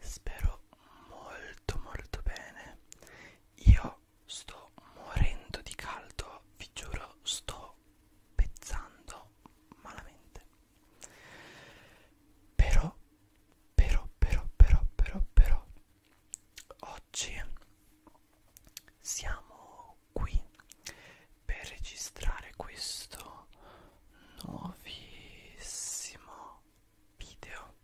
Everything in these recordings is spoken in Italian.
Spero molto molto bene. Io sto morendo di caldo, vi giuro, sto pezzando malamente. Però, però, però, però, però, però, oggi siamo qui per registrare questo nuovissimo video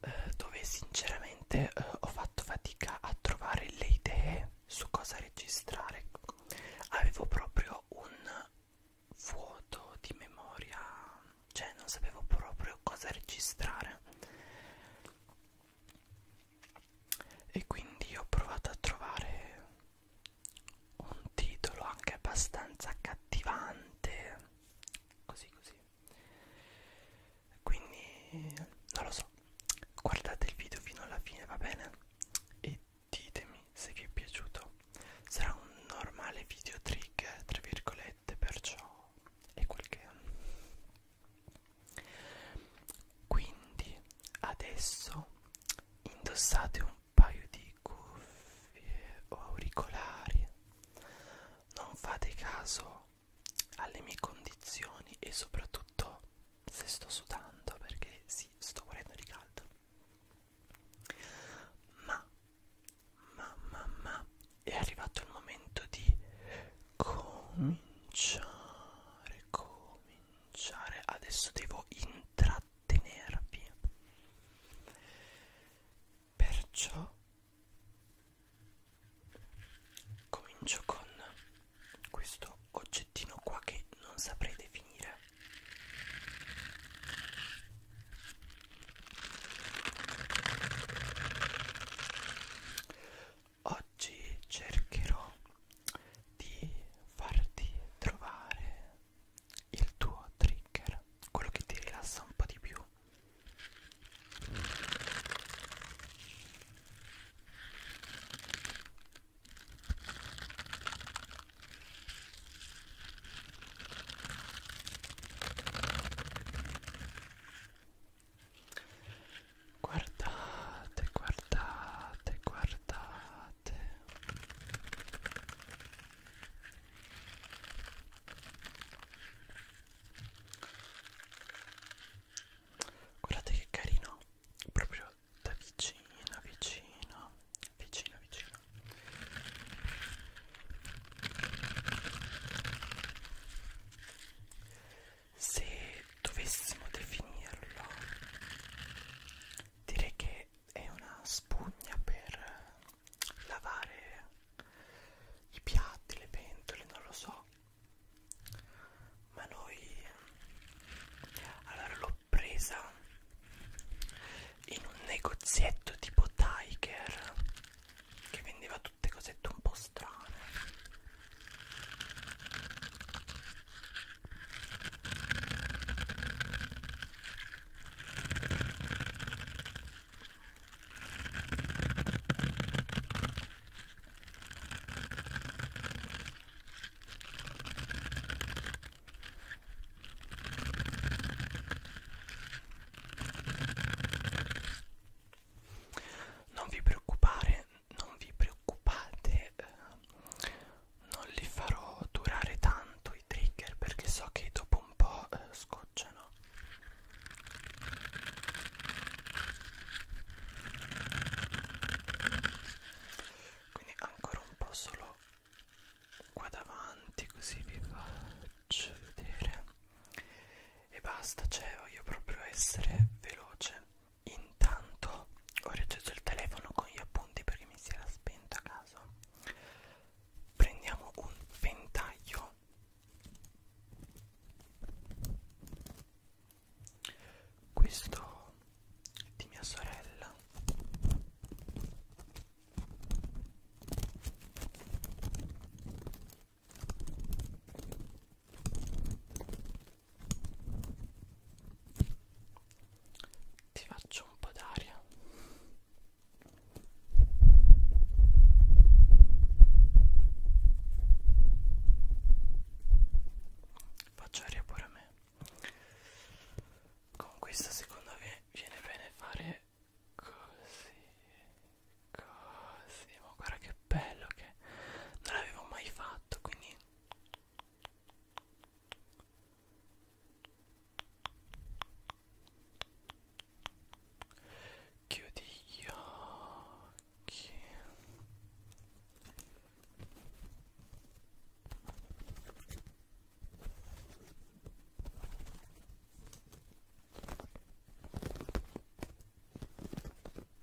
eh, dove sinceramente eh, ho fatto fatica a trovare le idee su cosa registrare avevo proprio un vuoto di memoria cioè non sapevo proprio cosa registrare e quindi ho provato a trovare un titolo anche abbastanza accattivante così così quindi non lo so guardate il video fino alla fine va bene e ditemi se vi è piaciuto sarà un normale video trick tra virgolette perciò è quel che quindi adesso indossate un paio di cuffie o auricolari non fate caso alle mie condizioni e soprattutto se sto sudando perché sì sto morendo di caldo ma ma ma ma è arrivato il momento di cominciare cominciare cominciare adesso devo intrattenervi perciò comincio con questo oggettino qua che non saprei definire oggi cercherò di farti trovare il tuo trigger, quello che ti rilassa un po' di più. Guardate, guardate, guardate. Guardate che carino, proprio da vicino, vicino, vicino, vicino se dovessimo definirlo direi che è una spugna per lavare i piatti, le pentole, non lo so ma noi allora l'ho presa in un negozietto tipo Tiger che vendeva tutte cosette un po' strane non vi preoccupare, non vi preoccupate, eh, non li farò durare tanto i trigger perché so che dopo un po' eh, scocciano. Quindi ancora un po' solo qua davanti così vi faccio vedere e basta, cioè voglio proprio essere veloce Intanto ho riacceso il telefono con gli appunti perché mi si era spento a caso. Prendiamo un ventaglio questo di mia sorella ti faccio un po' d'aria faccio aria pure a me con questa secondo me viene bene fare così così ma guarda che bello che perché non l'avevo mai fatto quindi chiudi gli occhi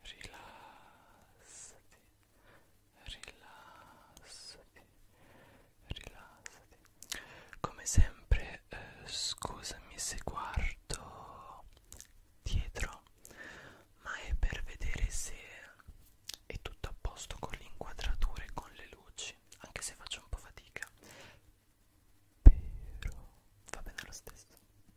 rilassati, rilassati, rilassati. Come sempre, eh, scusami se guardo dietro, ma è per vedere se è tutto a posto con le inquadrature e con le luci, anche se faccio un po' fatica. Però va bene lo stesso.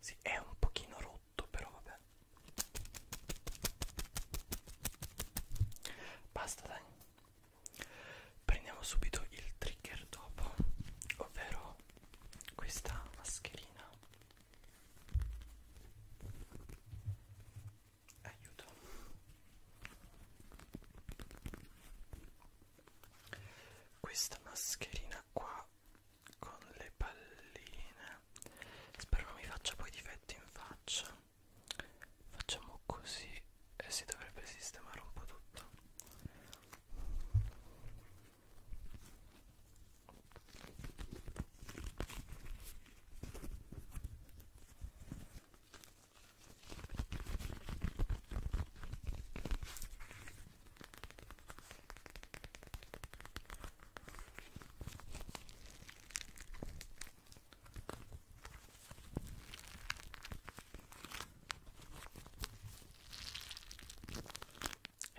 Sì, è un pochino rotto, però vabbè. Basta, dai. Prendiamo subito il trigger dopo, ovvero questa mascherina. Aiuto questa mascherina qua con le palline spero non mi faccia poi difetti in faccia facciamo così e si dovrebbe sistemare un po' tutto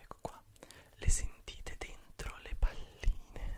Ecco qua, le sentite dentro le palline.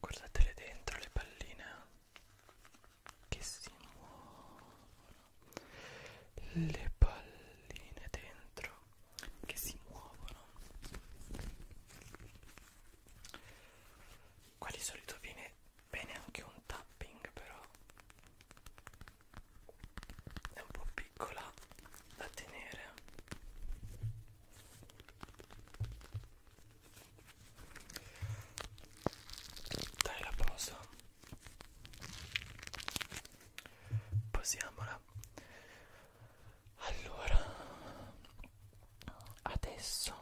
Guardatele dentro le palline che si muovono. Le palline dentro che si muovono. Qua di solito viene bene anche un tapping però è un po' piccola da tenere dai la posa posiamola allora adesso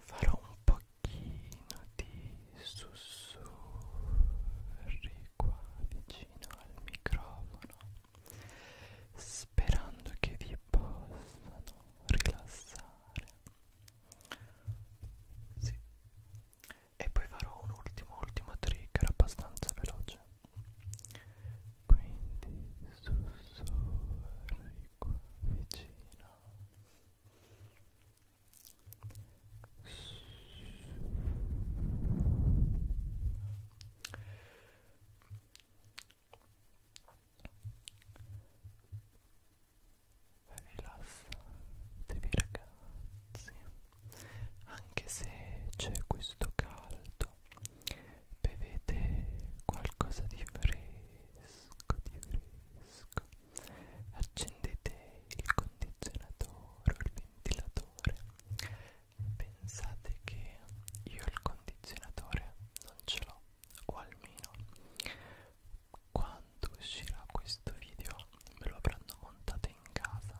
farò un po' pochino di sussurri qua vicino al microfono sperando che vi possano rilassare sì. e poi farò un ultimo ultimo trigger abbastanza veloce quindi sussurri qua vicino Rilassatevi ragazzi, anche se c'è questo caldo, bevete qualcosa di fresco, di fresco accendete il condizionatore o il ventilatore pensate che io il condizionatore non ce l'ho o almeno quando uscirà questo video me lo avranno montato in casa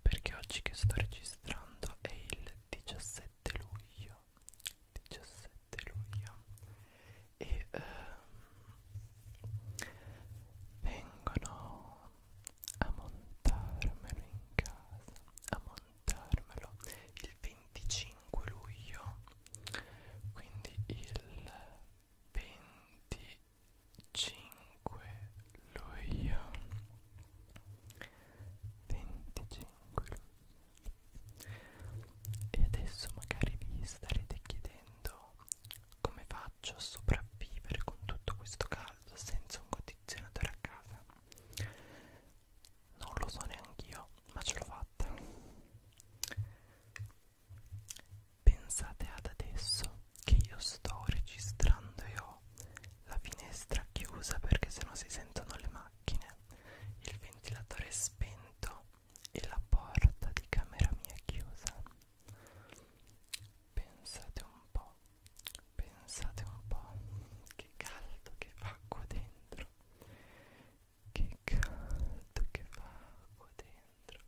perché oggi che sto registrando è il 17 luglio 17 luglio e uh, vengono a montarmelo in casa a montarmelo il 25 luglio quindi il 25 luglio 25 luglio e adesso magari vi starete chiedendo come faccio a sopravvivere con tutto questo caldo senza un condizionatore a casa. Non lo so neanch'io, ma ce l'ho fatta. Pensate ad adesso che io sto registrando e ho la finestra chiusa perché sennò si sentono le macchine, il ventilatore è spento e la porta di camera mia è chiusa. Pensate un po', pensate un po' che caldo che fa qua dentro. Che caldo che fa qua dentro.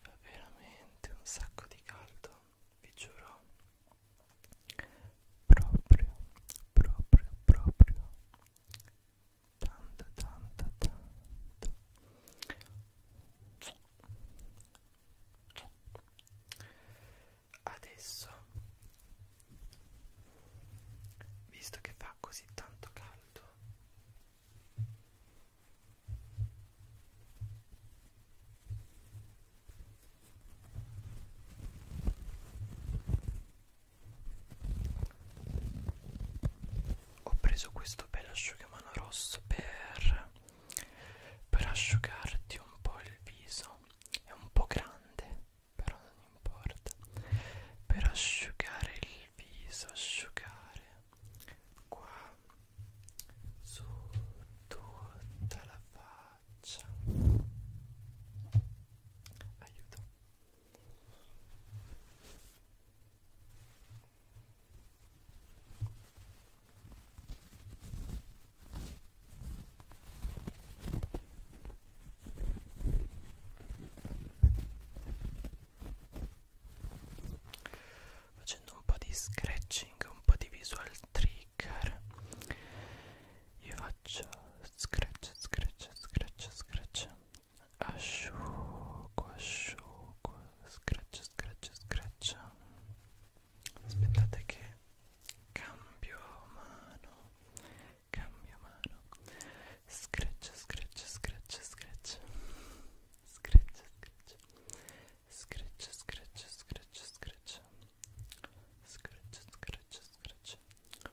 Fa veramente un sacco di caldo, vi giuro. Proprio, proprio, proprio tanto tanto tanto adesso visto che fa così tanto caldo ho preso questo bel asciugamano rosso per, per asciugarti un po' il viso è un po' grande però non importa per asciugare il viso asciugare qua su tutta la faccia aiuto Facendo un po' di scratching, un po' di visual trigger, io faccio scratch, scratch, scratch, scratch asciugo, asciugo, scratch, scratch, scratch. Aspettate che cambio mano, cambio mano. Scratch, scratch, scratch, scratch. Scratch, scratch. Scratch, scratch, scratch, scratch. Scratch, scratch, scratch.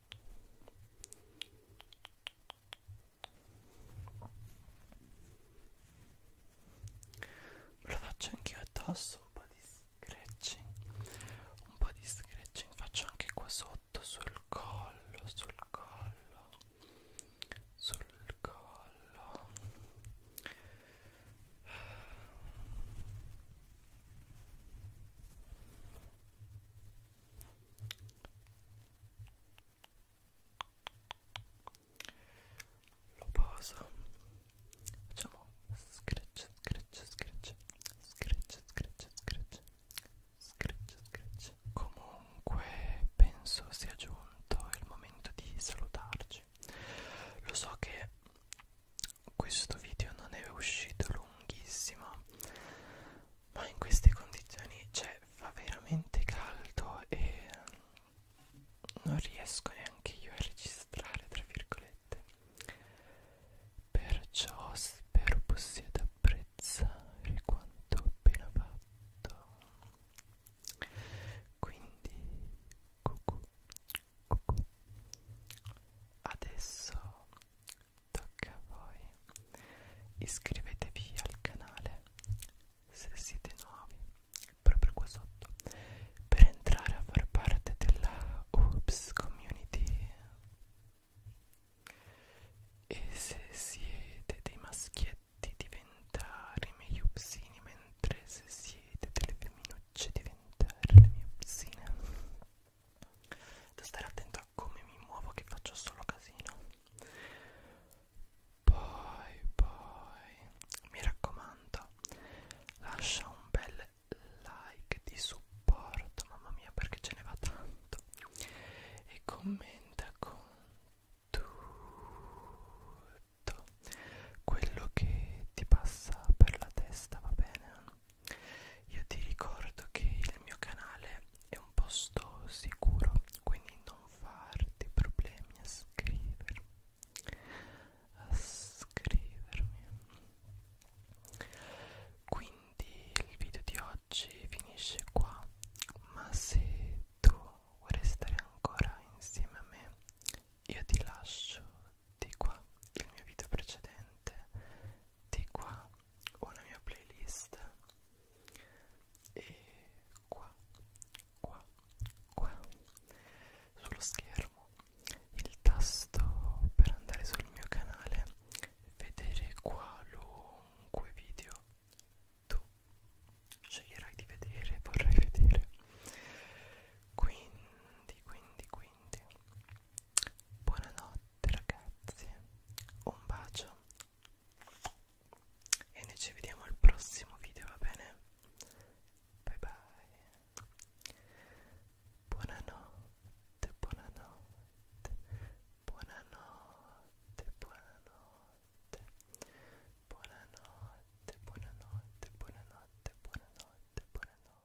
Lo faccio anche io a dosso, un po' di scratching, un po' di scratching faccio anche qua sotto, sul collo, sul collo, sul collo lo poso facciamo scratch scratch scratch scratch scratch scratch scratch scratch comunque penso sia giunto il momento di salutarci lo so che questo video non è uscito lunghissimo ma in queste condizioni cioè fa veramente caldo e mm, non riesco neanche io a registrare tra virgolette perciò spero possiate apprezzare quanto ho appena fatto quindi cucù, cucù. adesso tocca a voi iscrivetevi al canale se siete nuovi proprio qua sotto per entrare a far parte della Oops Community e se siete dei maschietti diventare i miei upsini mentre se siete delle femminucce diventare le mie upsine da stare attento a come mi muovo che faccio solo casino poi poi mi raccomando lascia un bel like di supporto mamma mia perché ce ne va tanto e commenta con tutto quello che ti passa per la testa va bene io ti ricordo che il mio canale è un posto sicuro, quindi non farti problemi a scrivermi. A scrivermi. Quindi il video di oggi finisce qua, ma se tu vuoi restare ancora insieme a me, io ti lascio di qua il mio video precedente di qua ho la mia playlist e qua qua qua sullo schermo il tasto per andare sul mio canale vedere qualunque video tu sceglierai di vedere vorrai vedere quindi quindi quindi buonanotte niente ragazzi un bacio e noi ci vediamo al prossimo video va bene bye bye buonanotte buonanotte buonanotte buonanotte buonanotte buonanotte buonanotte buonanotte buonanotte